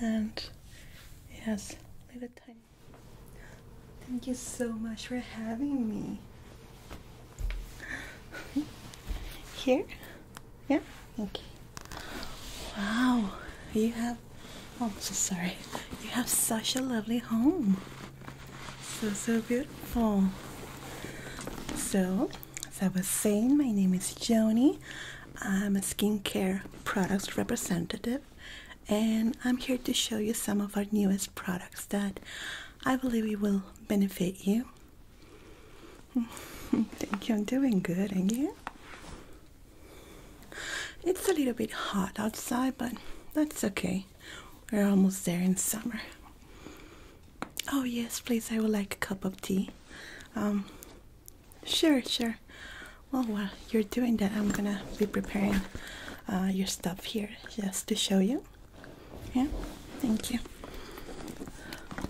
And yes, little time. Thank you so much for having me. Here? Yeah? thank you. Wow, you have Oh, I'm so sorry. You have such a lovely home. So, so beautiful. So, as I was saying, my name is Joni. I'm a skincare products representative, and I'm here to show you some of our newest products that I believe will benefit you. Thank you. I'm doing good, and you? It's a little bit hot outside, but that's okay. We're almost there in summer. Oh, yes, please. I would like a cup of tea. Um, sure, sure. Well, while you're doing that, I'm gonna be preparing uh, your stuff here just to show you. Yeah, thank you.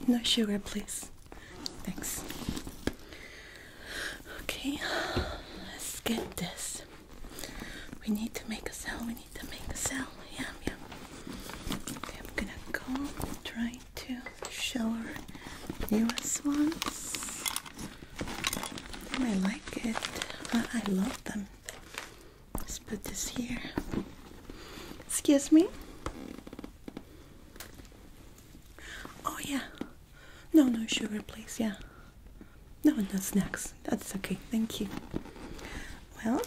No sugar, please. Thanks. Okay, let's get this. We need to make a cell, we need to make a cell. Yeah, yeah. I'm gonna go try to show us once. ones. I like it. I love them. Let's put this here. Excuse me? Oh, yeah. No, no sugar, please. Yeah. No, no snacks. That's okay. Thank you. Well,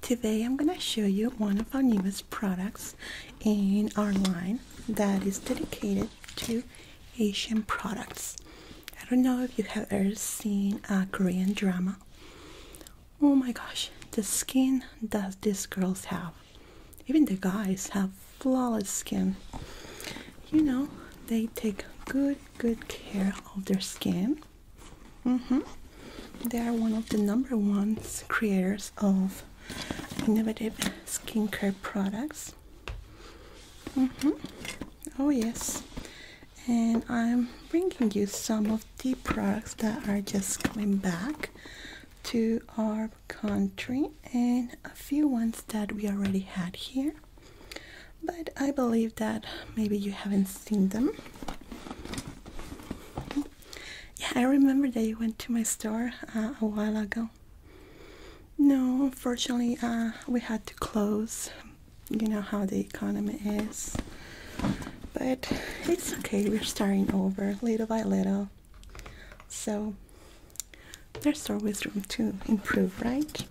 today I'm going to show you one of our newest products in our line that is dedicated to Asian products. I don't know if you have ever seen a Korean drama. Oh my gosh, the skin does these girls have, even the guys have flawless skin. You know, they take good, good care of their skin. Mm-hmm. They are one of the number one creators of innovative skincare products. Mm-hmm. Oh yes. And I'm bringing you some of the products that are just coming back to our country and a few ones that we already had here but I believe that maybe you haven't seen them yeah I remember that you went to my store uh, a while ago no unfortunately uh, we had to close you know how the economy is but it's okay we're starting over little by little so there's always room to improve, right?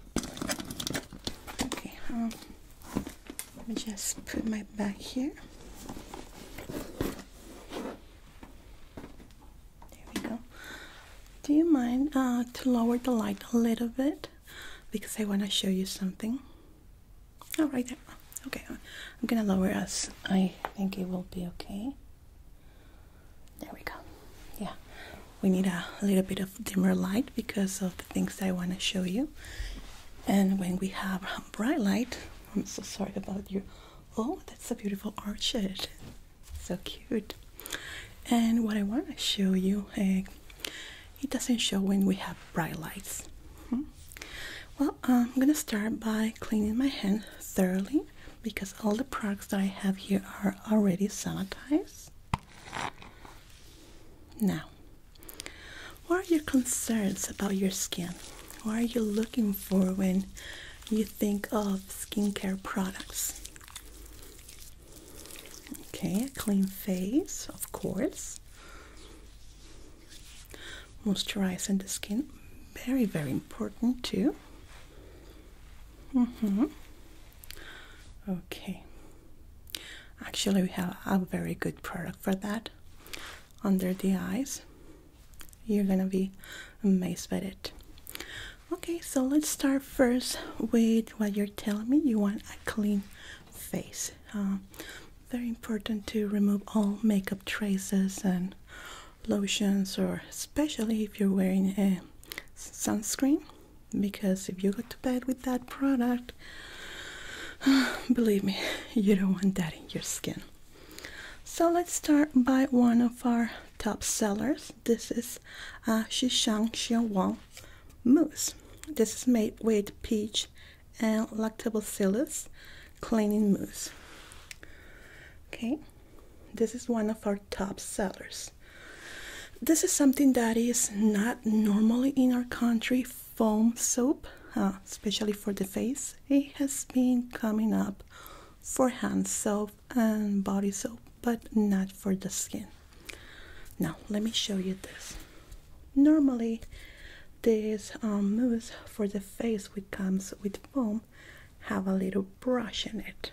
Okay, um, let me just put my back here. There we go. Do you mind uh, to lower the light a little bit? Because I want to show you something. All oh, right, there. Okay, uh, I'm gonna lower us. I think it will be okay. There we go. Yeah, we need a little bit of dimmer light because of the things I want to show you. And when we have bright light, I'm so sorry about you. Oh, that's a beautiful orchid. So cute. And what I want to show you, uh, it doesn't show when we have bright lights. Hmm? Well, I'm gonna start by cleaning my hand thoroughly because all the products that I have here are already sanitized. Now, what are your concerns about your skin? What are you looking for when you think of skincare products? Okay, a clean face, of course. Moisturizing the skin, very, very important too. Mm hmm. Okay. Actually, we have a very good product for that. Under the eyes. You're gonna be amazed by it. Okay, so let's start first with what you're telling me. You want a clean face. Uh, very important to remove all makeup traces and lotions or especially if you're wearing a sunscreen because if you go to bed with that product believe me you don't want that in your skin so let's start by one of our top sellers this is uh, Shishang Xiaowang mousse this is made with peach and lactobacillus cleaning mousse okay this is one of our top sellers. This is something that is not normally in our country foam soap, uh, especially for the face. It has been coming up for hand soap and body soap, but not for the skin. Now, let me show you this. Normally, this um, mousse for the face which comes with foam have a little brush in it.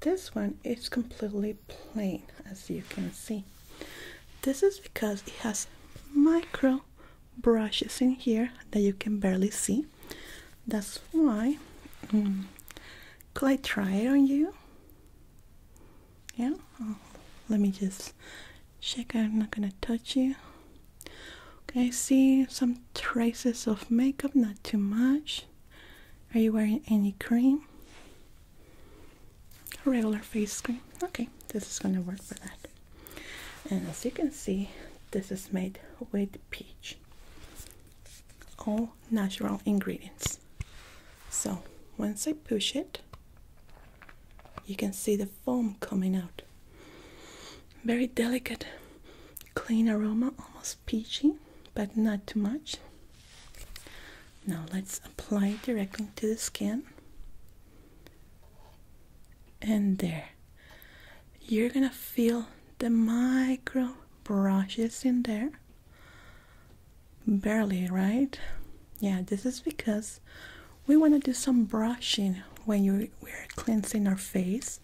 This one is completely plain as you can see. This is because it has micro brushes in here that you can barely see. That's why. could I try it on you? Yeah? Oh, let me just check. I'm not gonna touch you. Okay, I see some traces of makeup, not too much. Are you wearing any cream? regular face cream. Okay, this is gonna work for that. And as you can see, this is made with peach. All natural ingredients. So once I push it, you can see the foam coming out. Very delicate, clean aroma, almost peachy, but not too much. Now let's apply directly to the skin. And there. You're gonna feel the micro brushes in there. Barely, right? Yeah, this is because we want to do some brushing when you, we're cleansing our face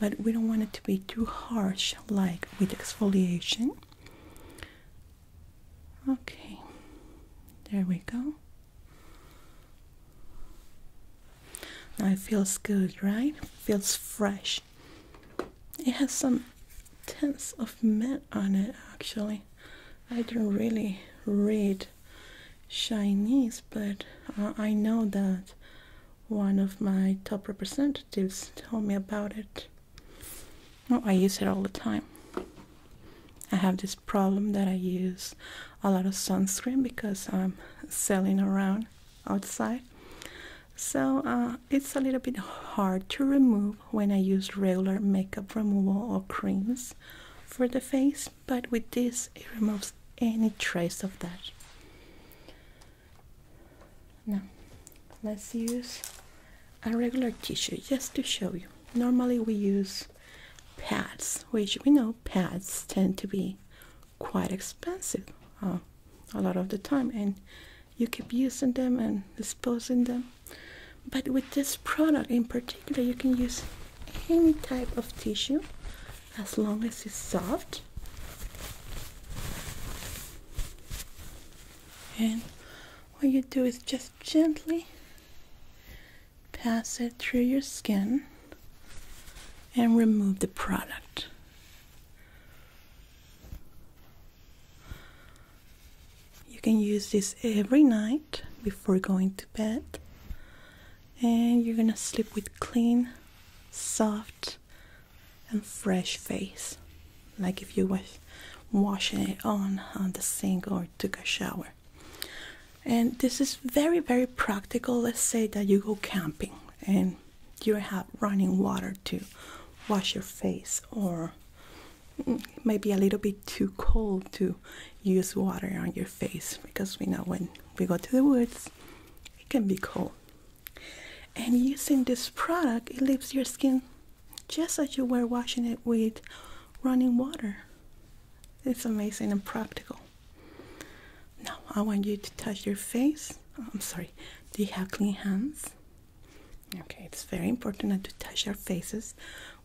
but we don't want it to be too harsh like with exfoliation okay there we go now it feels good right feels fresh it has some tints of mint on it actually i don't really read chinese but i know that one of my top representatives told me about it. Oh, I use it all the time. I have this problem that I use a lot of sunscreen because I'm selling around outside. So uh, it's a little bit hard to remove when I use regular makeup removal or creams for the face, but with this it removes any trace of that. Now, let's use a regular tissue just to show you. Normally we use pads, which we know pads tend to be quite expensive uh, a lot of the time, and you keep using them and disposing them. But with this product in particular, you can use any type of tissue as long as it's soft and what you do is just gently pass it through your skin and remove the product you can use this every night before going to bed and you're gonna sleep with clean soft and fresh face like if you were washing it on on the sink or took a shower and this is very very practical let's say that you go camping and you don't have running water to wash your face or maybe a little bit too cold to use water on your face because we know when we go to the woods it can be cold and using this product it leaves your skin just as you were washing it with running water it's amazing and practical now i want you to touch your face i'm sorry do you have clean hands okay it's very important not to touch our faces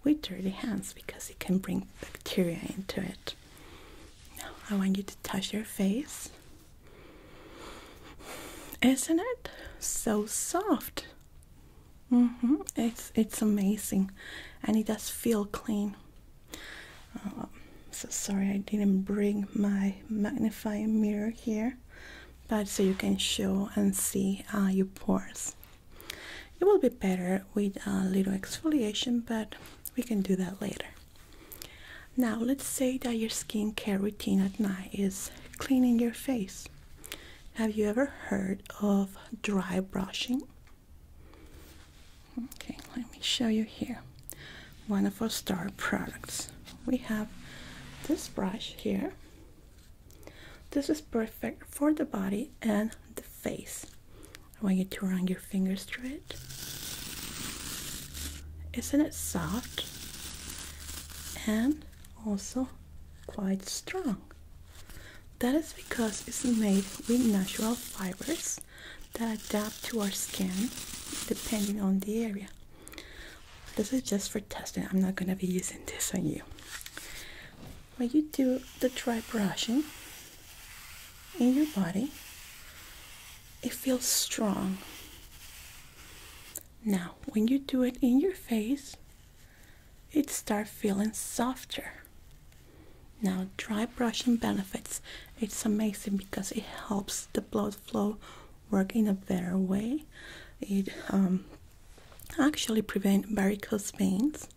with dirty hands because it can bring bacteria into it now i want you to touch your face isn't it so soft? Mm-hmm. It's it's amazing, and it does feel clean. Oh, so sorry I didn't bring my magnifying mirror here, but so you can show and see your pores. It will be better with a little exfoliation, but we can do that later. Now, let's say that your skincare routine at night is cleaning your face. Have you ever heard of dry brushing? Okay, let me show you here one of our star products. We have this brush here. This is perfect for the body and the face. I want you to run your fingers through it. Isn't it soft? And also quite strong. That is because it's made with natural fibers that adapt to our skin depending on the area. This is just for testing. I'm not going to be using this on you. When you do the dry brushing in your body, it feels strong. Now, when you do it in your face, it starts feeling softer. Now, dry brushing benefits. It's amazing because it helps the blood flow work in a better way. It um, actually prevents varicose veins.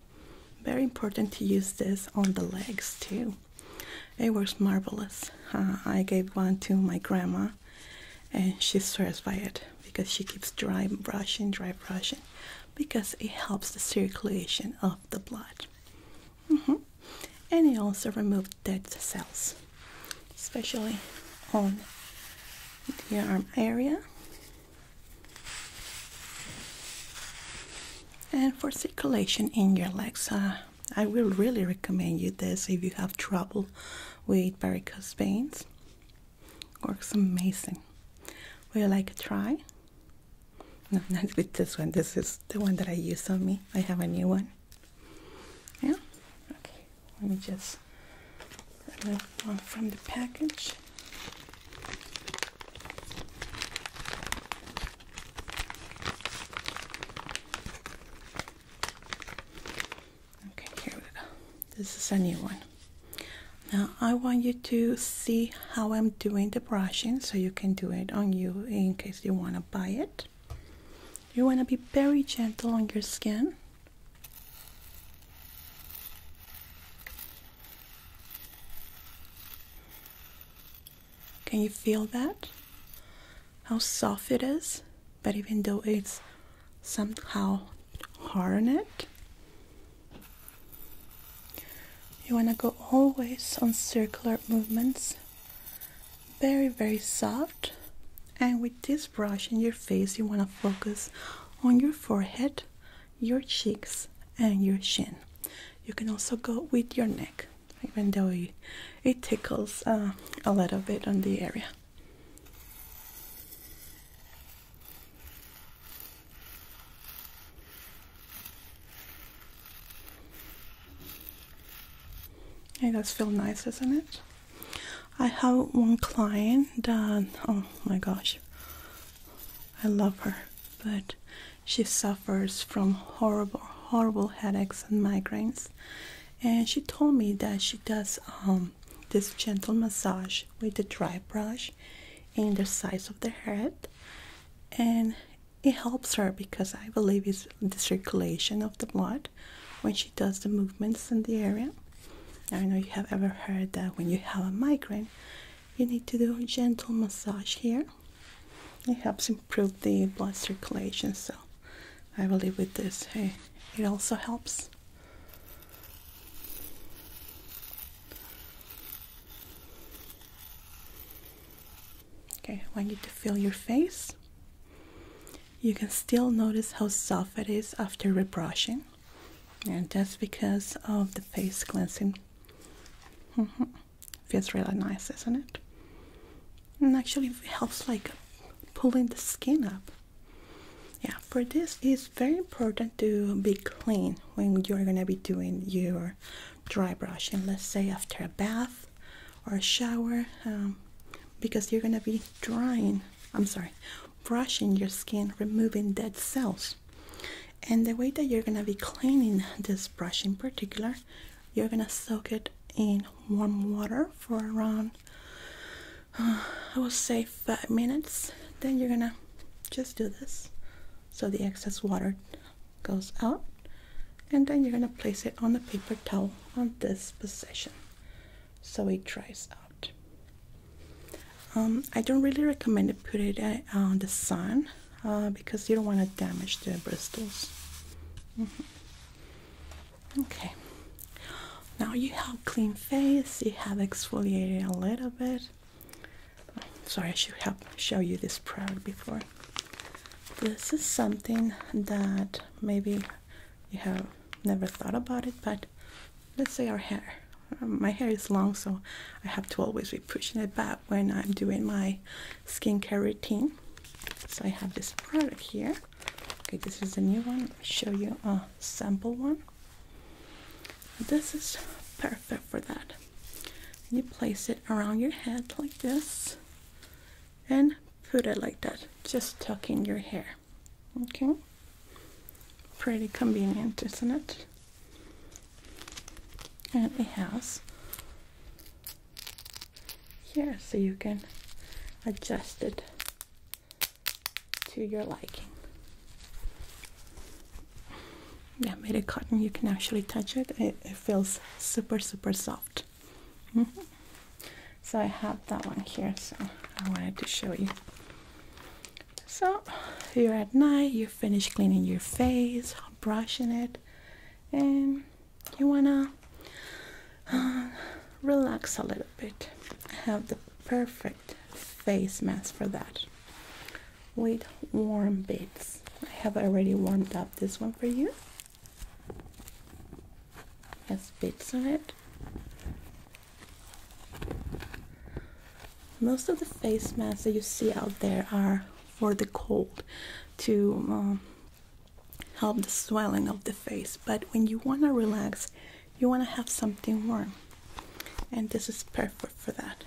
Very important to use this on the legs too. It was marvelous. Uh, I gave one to my grandma, and she swears by it because she keeps dry brushing, dry brushing, because it helps the circulation of the blood. Mm-hmm. And it also removes dead cells, especially on the arm area. And for circulation in your legs, uh, I will really recommend you this if you have trouble with varicose veins. Works amazing. Would you like a try? not with this one. This is the one that I use on me. I have a new one. Yeah? Okay. Let me just remove one from the package. Okay, here we go. This is a new one. Now I want you to see how I'm doing the brushing so you can do it on you in case you want to buy it. You want to be very gentle on your skin. Can you feel that? How soft it is, but even though it's somehow hard on it, you want to go always on circular movements, very, very soft. And with this brush in your face, you want to focus on your forehead, your cheeks, and your chin. You can also go with your neck even though it, it tickles uh, a little bit on the area. It does feel nice, doesn't it? I have one client that, oh my gosh, I love her, but she suffers from horrible, horrible headaches and migraines. And she told me that she does um, this gentle massage with the dry brush in the sides of the head. And it helps her because I believe it's the circulation of the blood when she does the movements in the area. I know you have ever heard that when you have a migraine, you need to do a gentle massage here it helps improve the blood circulation so i believe with this it also helps okay i need to feel your face you can still notice how soft it is after rebrushing and that's because of the face cleansing mm-hmm. Feels really nice, does not it? And actually helps like pulling the skin up. Yeah, for this it's very important to be clean when you're gonna be doing your dry brushing. Let's say after a bath or a shower, um, because you're gonna be drying. I'm sorry, brushing your skin, removing dead cells. And the way that you're gonna be cleaning this brush in particular you're gonna soak it in warm water for around, I will say, five minutes. Then you're gonna just do this so the excess water goes out, and then you're gonna place it on the paper towel on this position so it dries out. Um, I don't really recommend to put it uh, on the sun uh, because you don't want to damage the bristles. Mm-hmm. Okay, now you have clean face, you have exfoliated a little bit. Sorry, I should have show you this product before. This is something that maybe you have never thought about it, but let's say our hair. Um, my hair is long, so I have to always be pushing it back when I'm doing my skincare routine. So I have this product here. Okay, this is a new one. Let me show you a sample one. This is perfect for that. you place it around your head like this and put it like that, just tucking your hair. Okay, pretty convenient, isn't it? And it has here so you can adjust it to your liking. Yeah, made of cotton, you can actually touch it. It, feels super, super soft. Mm-hmm. So I have that one here, so I wanted to show you. So here at night, you finish cleaning your face, brushing it, and you wanna uh, relax a little bit. I have the perfect face mask for that with warm bits. I have already warmed up this one for you. Has bits on it. Most of the face masks that you see out there are for the cold to um, help the swelling of the face but when you want to relax you want to have something warm and this is perfect for that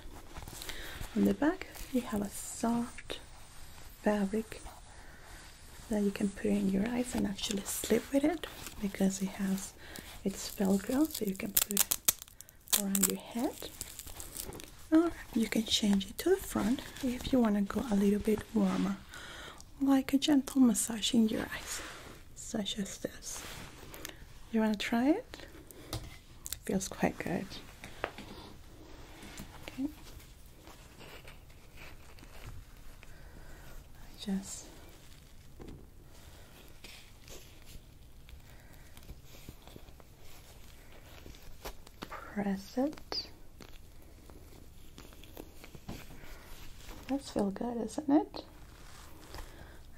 on the back you have a soft fabric that you can put in your eyes and actually sleep with it because it has it's velcro so you can put it around your head or you can change it to the front if you want to go a little bit warmer like a gentle massage in your eyes such as this you want to try it feels quite good okay just Press it. That's feel good, isn't it?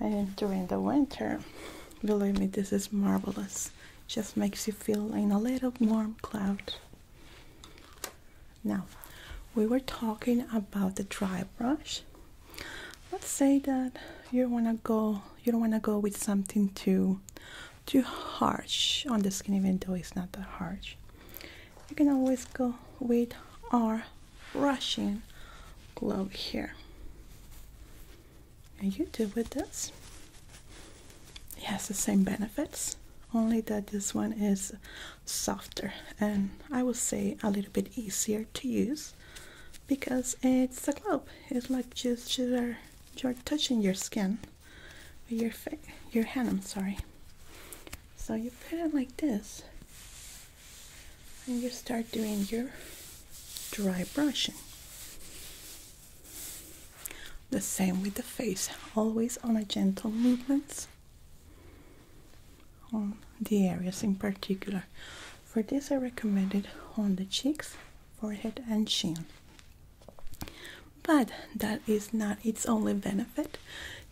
And during the winter, believe me, this is marvelous. Just makes you feel in a little warm cloud. Now, we were talking about the dry brush. Let's say that you want to go, you don't want to go with something too too harsh on the skin even though it's not that harsh you can always go with our brushing glove here and you do with this it has the same benefits only that this one is softer and I would say a little bit easier to use because it's a glove it's like just you're, you're touching your skin your your hand. I'm sorry. So you put it like this, and you start doing your dry brushing. The same with the face, always on a gentle movements on the areas in particular. For this I recommended on the cheeks, forehead and chin. But that is not its only benefit.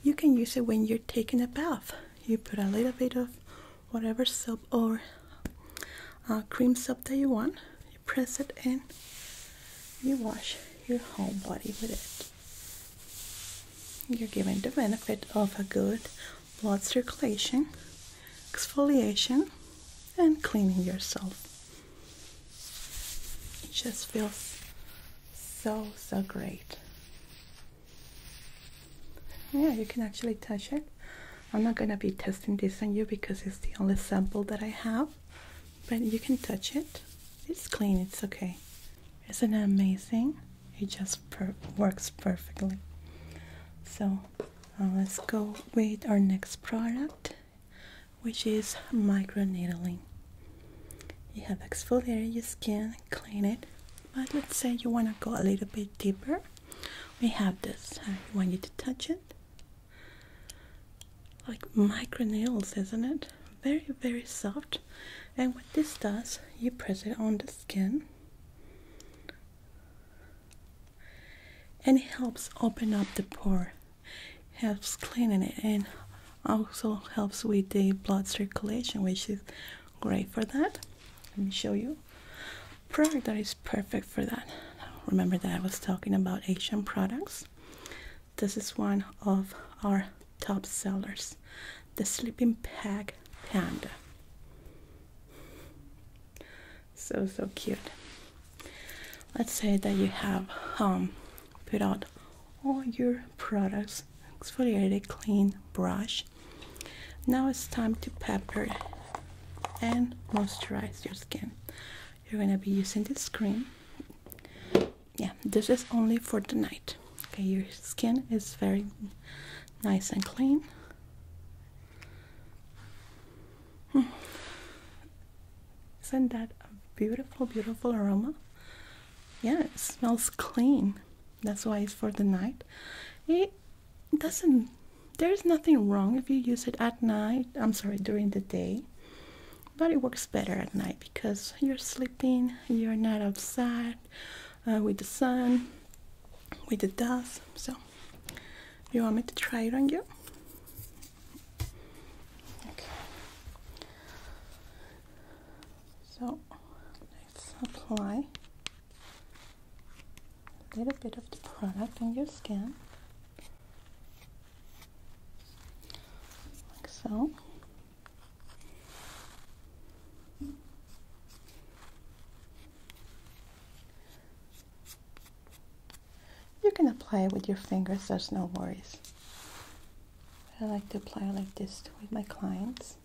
You can use it when you're taking a bath. You put a little bit of whatever soap or uh, cream soap that you want, you press it in, you wash your whole body with it. You're given the benefit of a good blood circulation, exfoliation, and cleaning yourself. It just feels so, so great. Yeah, you can actually touch it. I'm not gonna be testing this on you because it's the only sample that I have, but you can touch it. It's clean, it's okay. Isn't that amazing? It just works perfectly. So uh, let's go with our next product which is micro needling. You have exfoliate your skin, clean it, but let's say you want to go a little bit deeper. We have this. I uh, want you to touch it. Like micro microneedles, isn't it? Very, very soft. And what this does, you press it on the skin. and it helps open up the pore helps cleaning it and also helps with the blood circulation which is great for that let me show you product that is perfect for that remember that I was talking about Asian products this is one of our top sellers the sleeping bag panda so so cute let's say that you have um put out all your products exfoliated clean brush now it's time to pepper and moisturize your skin you're gonna be using this cream yeah this is only for the night okay your skin is very nice and clean Hmm. Isn't that a beautiful, beautiful aroma? Yeah, it smells clean. That's why it's for the night. It doesn't, there's nothing wrong if you use it at night. I'm sorry, during the day. But it works better at night because you're sleeping, you're not outside uh, with the sun, with the dust. So, you want me to try it on you? Okay. So let's apply a little bit of the product on your skin. Like so. You can apply it with your fingers, there's no worries. I like to apply like this with my clients.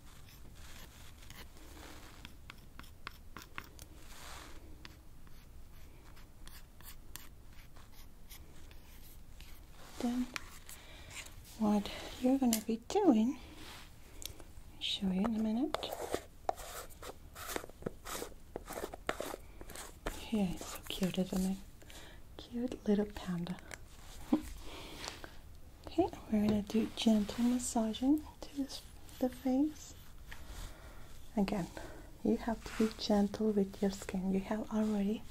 Then what you're gonna be doing, I'll show you in a minute. Okay, so cute, isn't it? Cute little panda. okay, we're gonna do gentle massaging to the face. Again, you have to be gentle with your skin. You have already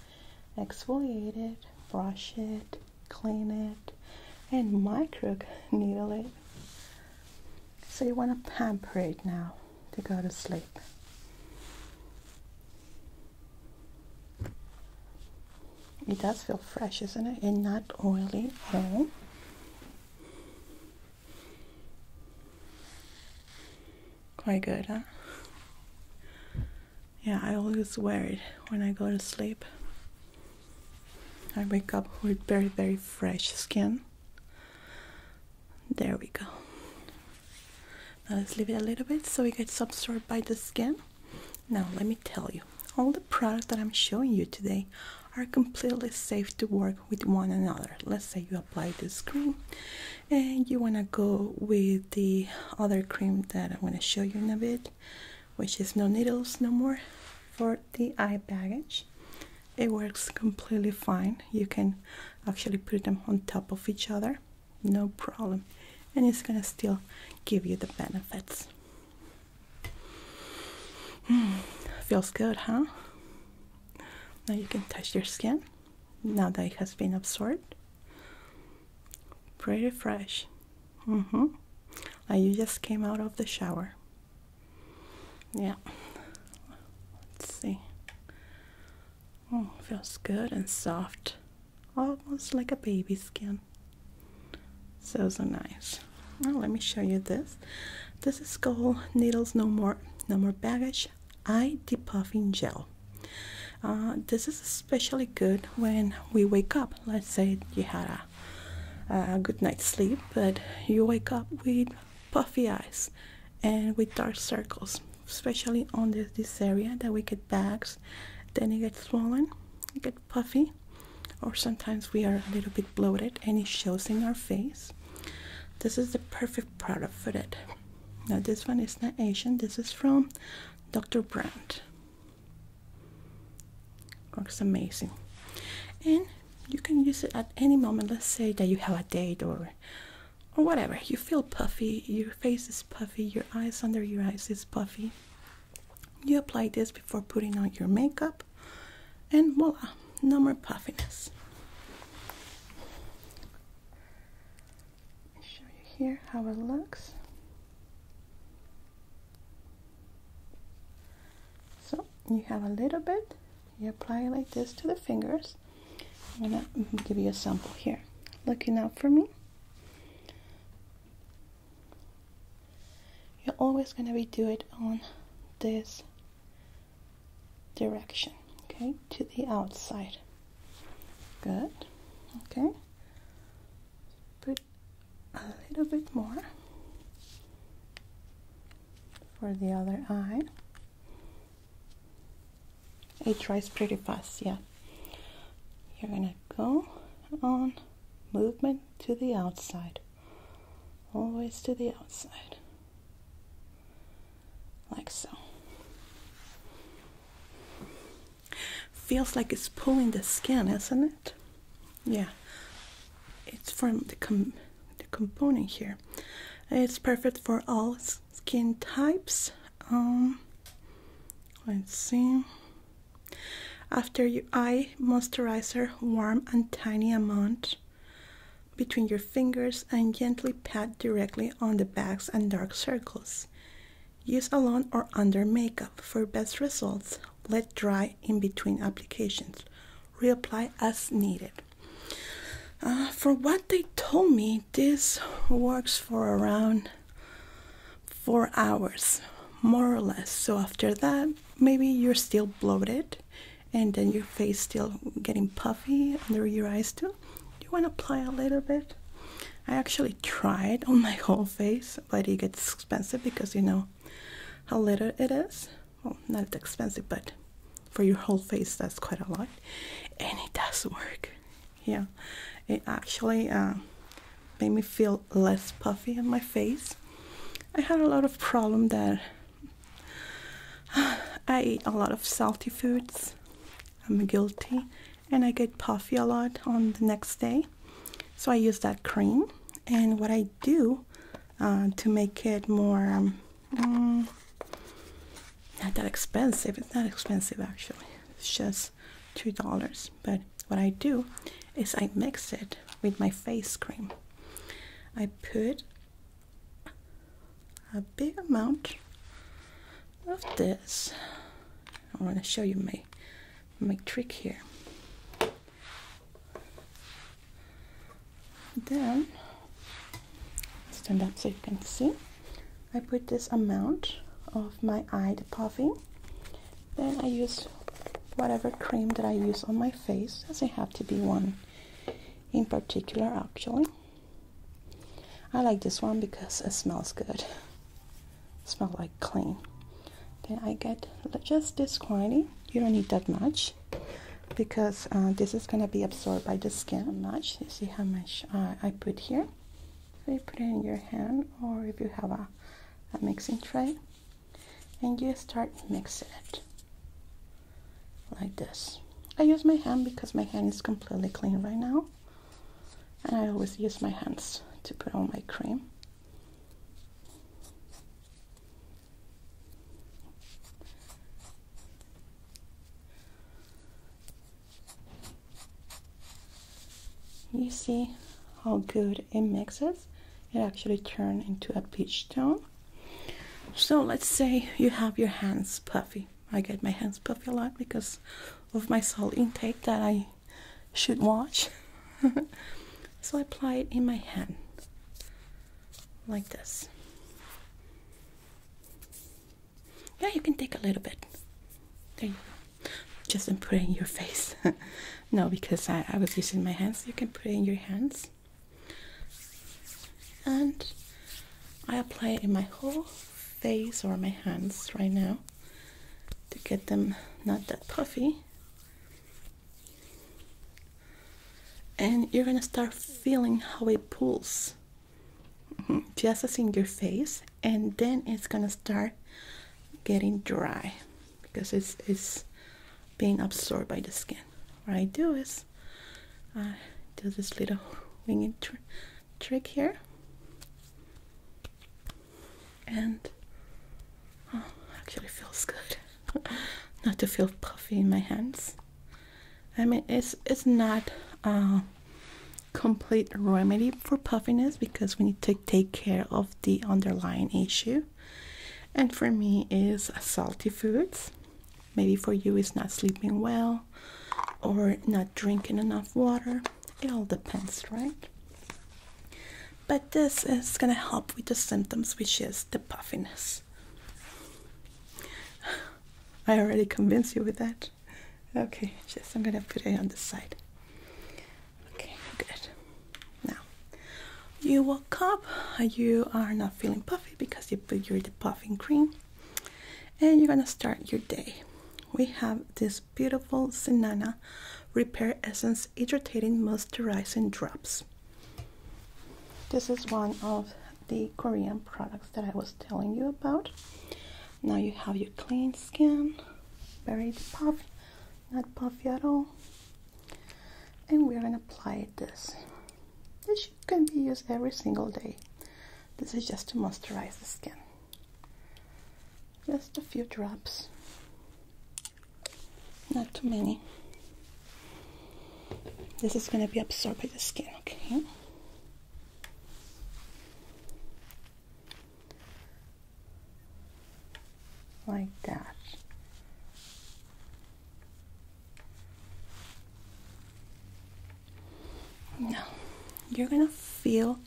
exfoliated, brush it, clean it, and micro needle it. So you want to pamper it now to go to sleep. It does feel fresh, isn't it? And not oily at all. Quite good, huh? Yeah, I always wear it when I go to sleep. I wake up with very, very fresh skin. There we go. Now let's leave it a little bit so it gets absorbed by the skin. Now let me tell you, all the products that I'm showing you today are completely safe to work with one another. Let's say you apply the cream and you want to go with the other cream that I'm going to show you in a bit, which is no needles no more for the eye baggage it works completely fine you can actually put them on top of each other no problem and it's gonna still give you the benefits hmm, feels good huh now you can touch your skin now that it has been absorbed pretty fresh mm-hmm like you just came out of the shower yeah let's see Oh, feels good and soft, almost like a baby skin. So, so nice. Now, let me show you this. This is called Needles No More, No More Baggage Eye Depuffing Gel. Uh, this is especially good when we wake up. Let's say you had a good night's sleep, but you wake up with puffy eyes and with dark circles, especially on this, area that we get bags, then it gets swollen, get puffy, or sometimes we are a little bit bloated and it shows in our face. This is the perfect product for that. Now this one is not Asian, this is from Dr. Brandt. Works amazing. And you can use it at any moment. Let's say that you have a date or or whatever. You feel puffy, your face is puffy, your eyes under your eyes is puffy. You apply this before putting on your makeup, and voila, no more puffiness. Let me show you here how it looks. So you have a little bit you apply it like this to the fingers. I'm gonna mm-hmm, give you a sample here. Looking up for me. You're always gonna redo it on this direction, okay, to the outside. Good. Okay. Put a little bit more for the other eye. It dries pretty fast, yeah. You're gonna go on movement to the outside, always to the outside, like so. Feels like it's pulling the skin, isn't it? Yeah, it's from the com the component here. It's perfect for all skin types. Um, let's see. After your eye moisturizer, warm and tiny amount between your fingers and gently pat directly on the bags and dark circles. Use alone or under makeup for best results. Let dry in between applications. Reapply as needed. Uh, for what they told me, this works for around four hours, more or less. So after that, maybe you're still bloated and then your face still getting puffy under your eyes too. You want to apply a little bit. I actually tried on my whole face, but it gets expensive because you know how little it is well, not that expensive, but for your whole face, that's quite a lot, and it does work. Yeah, it actually uh, made me feel less puffy in my face. I had a lot of problem that I eat a lot of salty foods. I'm guilty, and I get puffy a lot on the next day. So I use that cream, and what I do uh, to make it more um, Mm, not that expensive. It's not expensive actually. It's just two dollars. But what I do is I mix it with my face cream. I put a big amount of this. I want to show you my my trick here. Then stand up so you can see. I put this amount of my eye puffing. Then I use whatever cream that I use on my face, as I have to be one in particular actually. I like this one because it smells good. It smells like clean. Then I get just this quantity. You don't need that much because uh, this is going to be absorbed by the skin much. You see how much uh, I put here. So you put it in your hand or if you have a, a mixing tray and you start mixing it like this. I use my hand because my hand is completely clean right now and I always use my hands to put on my cream. You see how good it mixes? It actually turned into a peach tone. So let's say you have your hands puffy. I get my hands puffy a lot because of my salt intake that I should watch. so I apply it in my hand like this. Yeah, you can take a little bit. There you go. Just in putting your face. no, because I, I was using my hands. You can put it in your hands. And I apply it in my whole face or my hands right now to get them not that puffy and you're gonna start feeling how it pulls mm-hmm, just as in your face and then it's gonna start getting dry because it's it's being absorbed by the skin what I do is do this little winging trick here and oh actually feels good not to feel puffy in my hands I mean, it's it's not a uh, complete remedy for puffiness because we need to take care of the underlying issue. And for me, is salty foods. Maybe for you, it's not sleeping well or not drinking enough water. It all depends, right? But this is gonna help with the symptoms, which is the puffiness. I already convinced you with that. Okay, yes, I'm gonna put it on the side. Okay, good. Now you woke up, you are not feeling puffy because you put your de puffing cream, and you're gonna start your day. We have this beautiful Senana Repair Essence irritating Moisturizing Drops. This is one of the Korean products that I was telling you about. Now you have your clean skin, very puff, not puffy at all. And we're gonna apply this. This can be used every single day. This is just to moisturize the skin. Just a few drops, not too many. This is gonna be absorbed by the skin. Okay. Like that. Now, you're gonna feel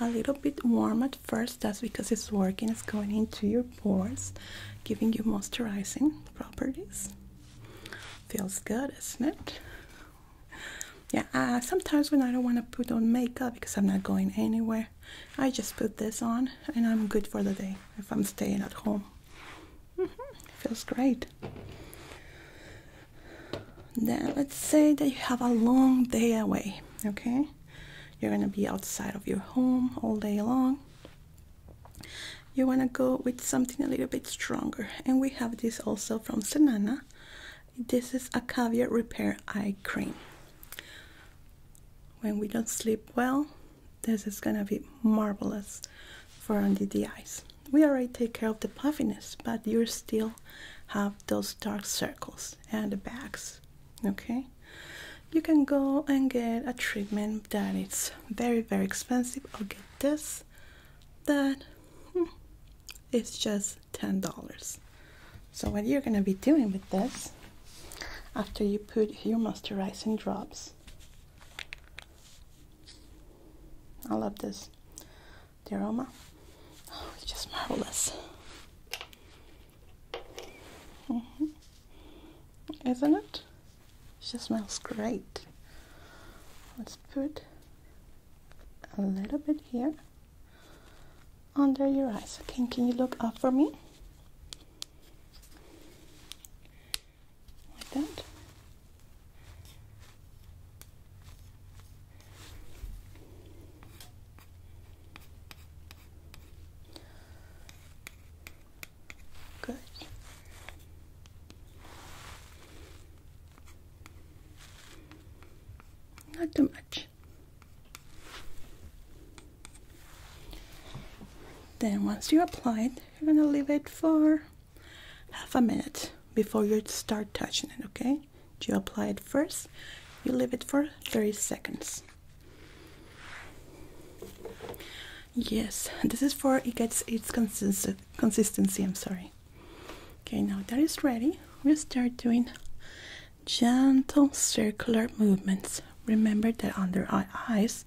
a little bit warm at first. That's because it's working, it's going into your pores, giving you moisturizing properties. Feels good, isn't it? Yeah, uh, sometimes when I don't want to put on makeup because I'm not going anywhere, I just put this on and I'm good for the day if I'm staying at home. Mm-hmm, feels great. Then let's say that you have a long day away, okay? You're gonna be outside of your home all day long you want to go with something a little bit stronger and we have this also from Senana this is a caviar repair eye cream when we don't sleep well this is gonna be marvelous for under the eyes we already take care of the puffiness but you still have those dark circles and the bags okay you can go and get a treatment it's very very expensive or get this box that hmm, just $10. So what you're going to be doing with this after you put your moisturizing drops I love this the aroma oh, it's just marvelous mm-hmm. isn't it she smells great. Let's put a little bit here under your eyes. Okay, can you look up for me? Like that. Good. Not too much. Then once you apply it, you're gonna leave it for half a minute before you start touching it, okay? You apply it first, you leave it for 30 seconds. Yes, this is for it gets its consistency consistency i'm sorry okay now that is ready we'll start doing gentle circular movements remember that under our eyes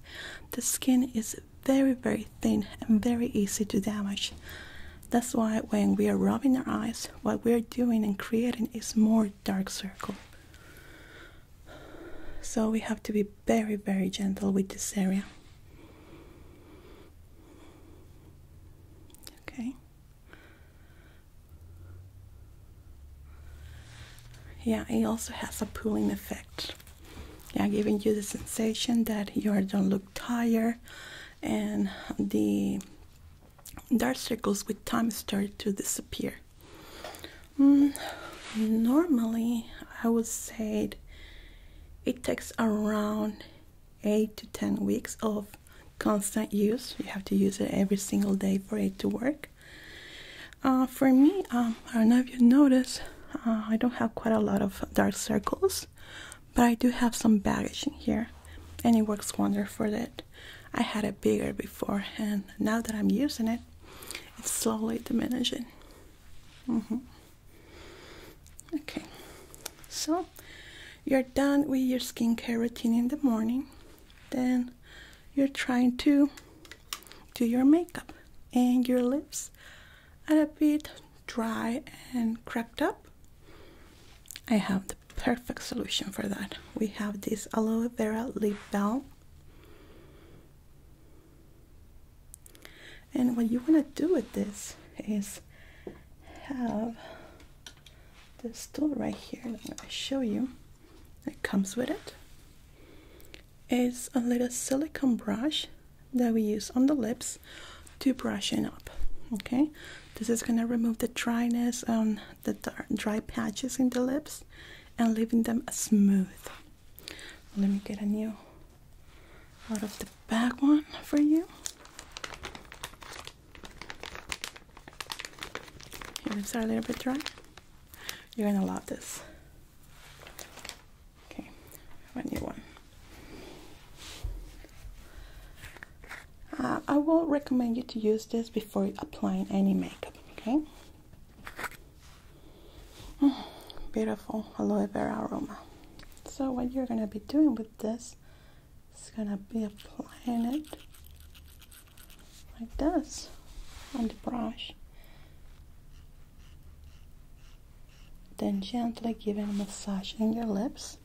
the skin is very very thin and very easy to damage that's why when we are rubbing our eyes what we're doing and creating is more dark circle so we have to be very, very gentle with this area. Okay. Yeah, it also has a pulling effect. Yeah, giving you the sensation that your don't look tired, and the dark circles with time start to disappear. Mm, normally, I would say it takes around 8 to 10 weeks of constant use. You have to use it every single day for it to work. Uh, for me, um, I don't know if you noticed, uh, I don't have quite a lot of dark circles, but I do have some baggage in here, and it works wonder for that. I had it bigger before, and now that I'm using it, it's slowly diminishing. Mm-hmm. Okay, so you're done with your skincare routine in the morning. Then you're trying to do your makeup and your lips are a bit dry and cracked up. I have the perfect solution for that. We have this aloe vera lip balm. And what you want to do with this is have this tool right here that I'm going to show you that comes with it. It's a little silicone brush that we use on the lips to brush it up. Okay, this is going to remove the dryness on the dry patches in the lips and leaving them smooth. Let me get a new out of the back one for you. Your lips a little bit dry. You're gonna love this. Okay, I need one. Uh, I will recommend you to use this before applying any makeup. Okay. beautiful aloe vera aroma. So what you're gonna be doing with this is gonna be applying it like this on the brush. Then gently giving a massage in your lips.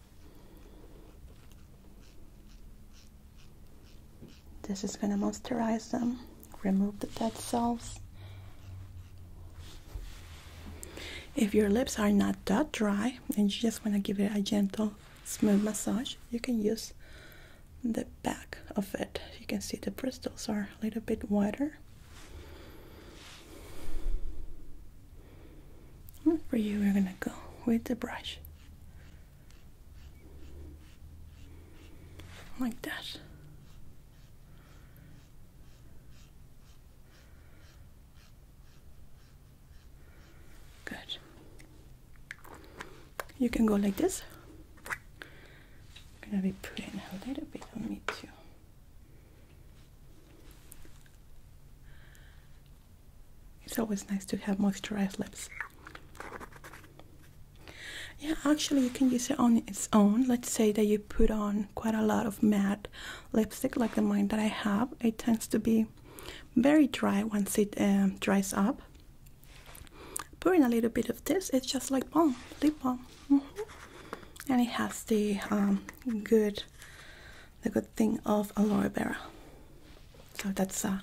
This is gonna moisturize them remove the dead cells. If your lips are not that dry and you just want to give it a gentle, smooth massage, you can use the back of it. You can see the bristles are a little bit wider. for you, we're going to go with the brush. Like that. Good. You can go like this. I'm gonna be putting a little bit on me too. It's always nice to have moisturized lips yeah actually you can use it on its own let's say that you put on quite a lot of matte lipstick like the mine that i have it tends to be very dry once it um, dries up put in a little bit of this it's just like balm lip balm mm-hmm. and it has the um, good the good thing of aloe vera so that's a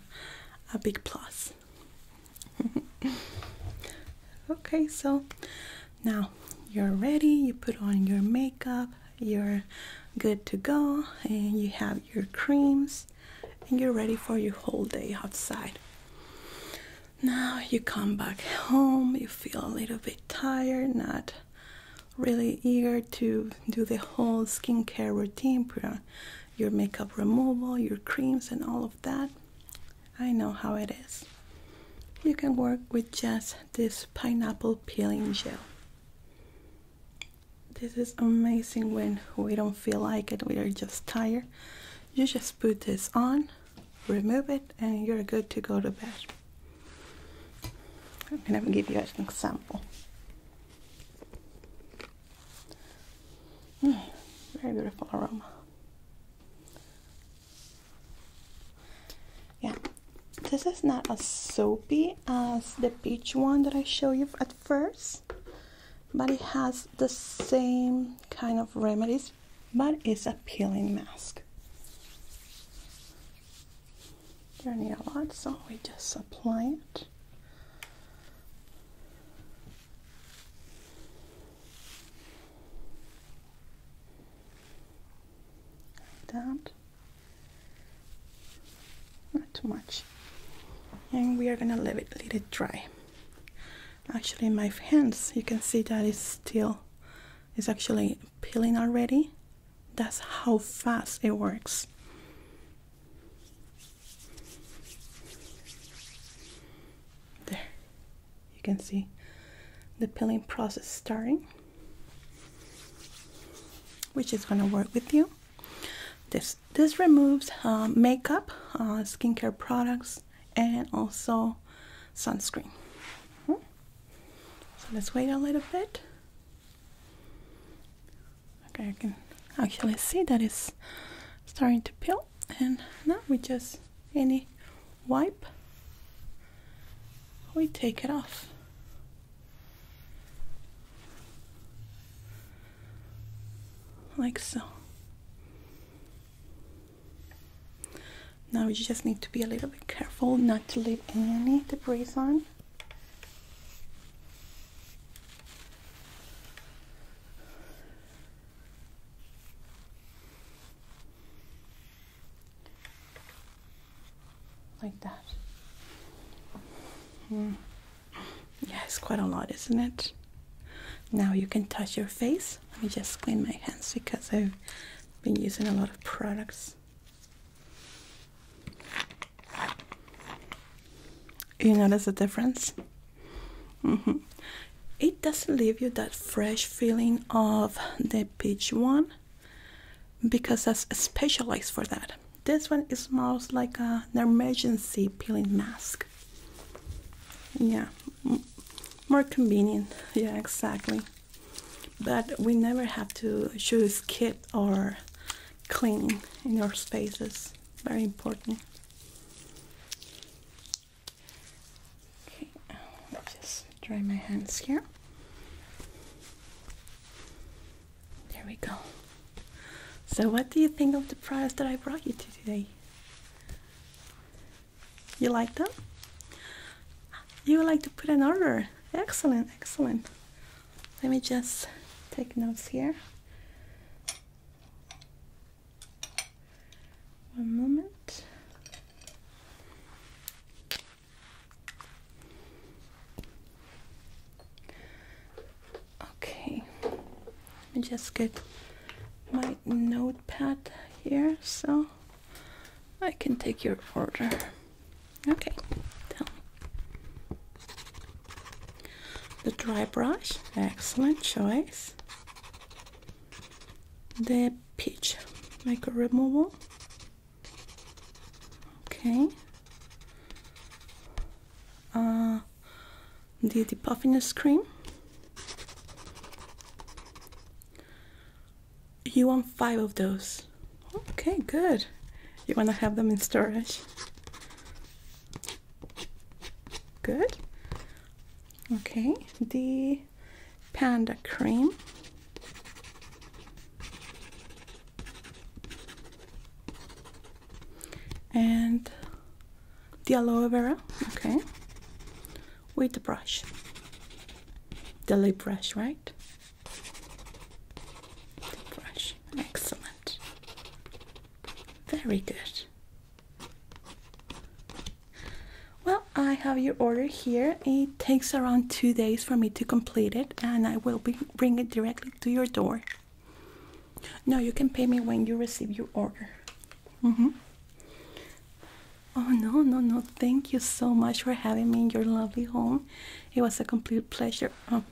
big plus okay so now you're ready, you put on your makeup, you're good to go, and you have your creams, and you're ready for your whole day outside. Now you come back home, you feel a little bit tired, not really eager to do the whole skincare routine, your makeup removal, your creams, and all of that. I know how it is. You can work with just this pineapple peeling gel. This is amazing when we don't feel like it, we are just tired. You just put this on, remove it, and you're good to go to bed. I'm gonna give you an example. Mm, very beautiful aroma. Yeah, this is not as soapy as the peach one that I showed you at first, but it has the same kind of remedies, but it's a peeling mask. There need a lot, so we just apply it that not too much and we are gonna let it let it dry actually my hands you can see that it's still it's actually peeling already that's how fast it works there you can see the peeling process starting which is going to work with you this this removes uh, makeup uh, skincare products and also sunscreen hmm? so let's wait a little bit okay i can actually see that it's starting to peel and now we just any wipe, we take it off. Like so. Now you just need to be a little bit careful not to leave any debris on. Like that. Hmm. Yeah, it's quite a lot, isn't it? Now you can touch your face. Let me just clean my hands because I've been using a lot of products. You notice the difference? Mm -hmm it doesn't leave you that fresh feeling of the peach one because that's specialized for that. This one is smells like an emergency peeling mask. Yeah, more convenient. Yeah, exactly. But we never have to choose kit or clean in your spaces. Very important. Okay, I'll um, just dry my hands here. There we go. So, what do you think of the products that I brought you today? You like them? You would like to put an order? Excellent, excellent. Let me just take notes here. One moment. Okay, let me just get my notepad here so I can take your order. Okay, The dry brush, excellent choice. The Pitch, like a removal okay uh, the, the puffiness cream you want five of those okay good you want to have them in storage good okay the Panda Cream. And the aloe vera, okay, with the brush, the lip brush, right? brush, excellent, very good. Well, I have your order here. It takes around two days for me to complete it, and I will be bring it directly to your door. No, you can pay me when you receive your order. Mm -hmm. Oh no, no, no! Thank you so much for having me in your lovely home. It was a complete pleasure. Oh,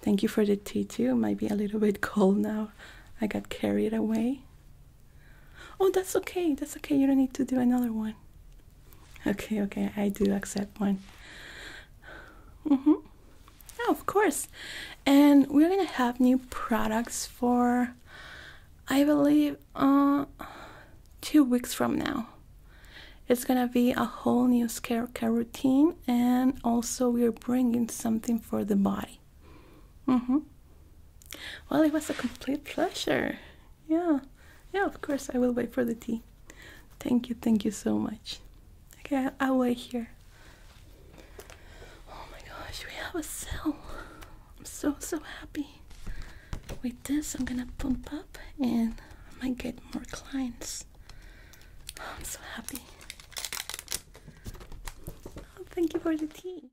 thank you for the tea too. It might be a little bit cold now. I got carried away. Oh, that's okay. That's okay. You don't need to do another one. Okay, okay. I do accept one. Mm-hmm. Oh, of course. And we're gonna have new products for, I believe, uh, two weeks from now. It's gonna be a whole new skincare routine, and also we're bringing something for the body. Lovely. mm mm-hmm. Well, it was a complete pleasure. Yeah. Yeah, of course, I will wait for the tea. Thank you, thank you so much. Okay, I'll wait here. Oh my gosh, we have a cell. I'm so, so happy. With this, I'm gonna pump up and I might get more clients. I'm so happy. Oh, thank you for the tea.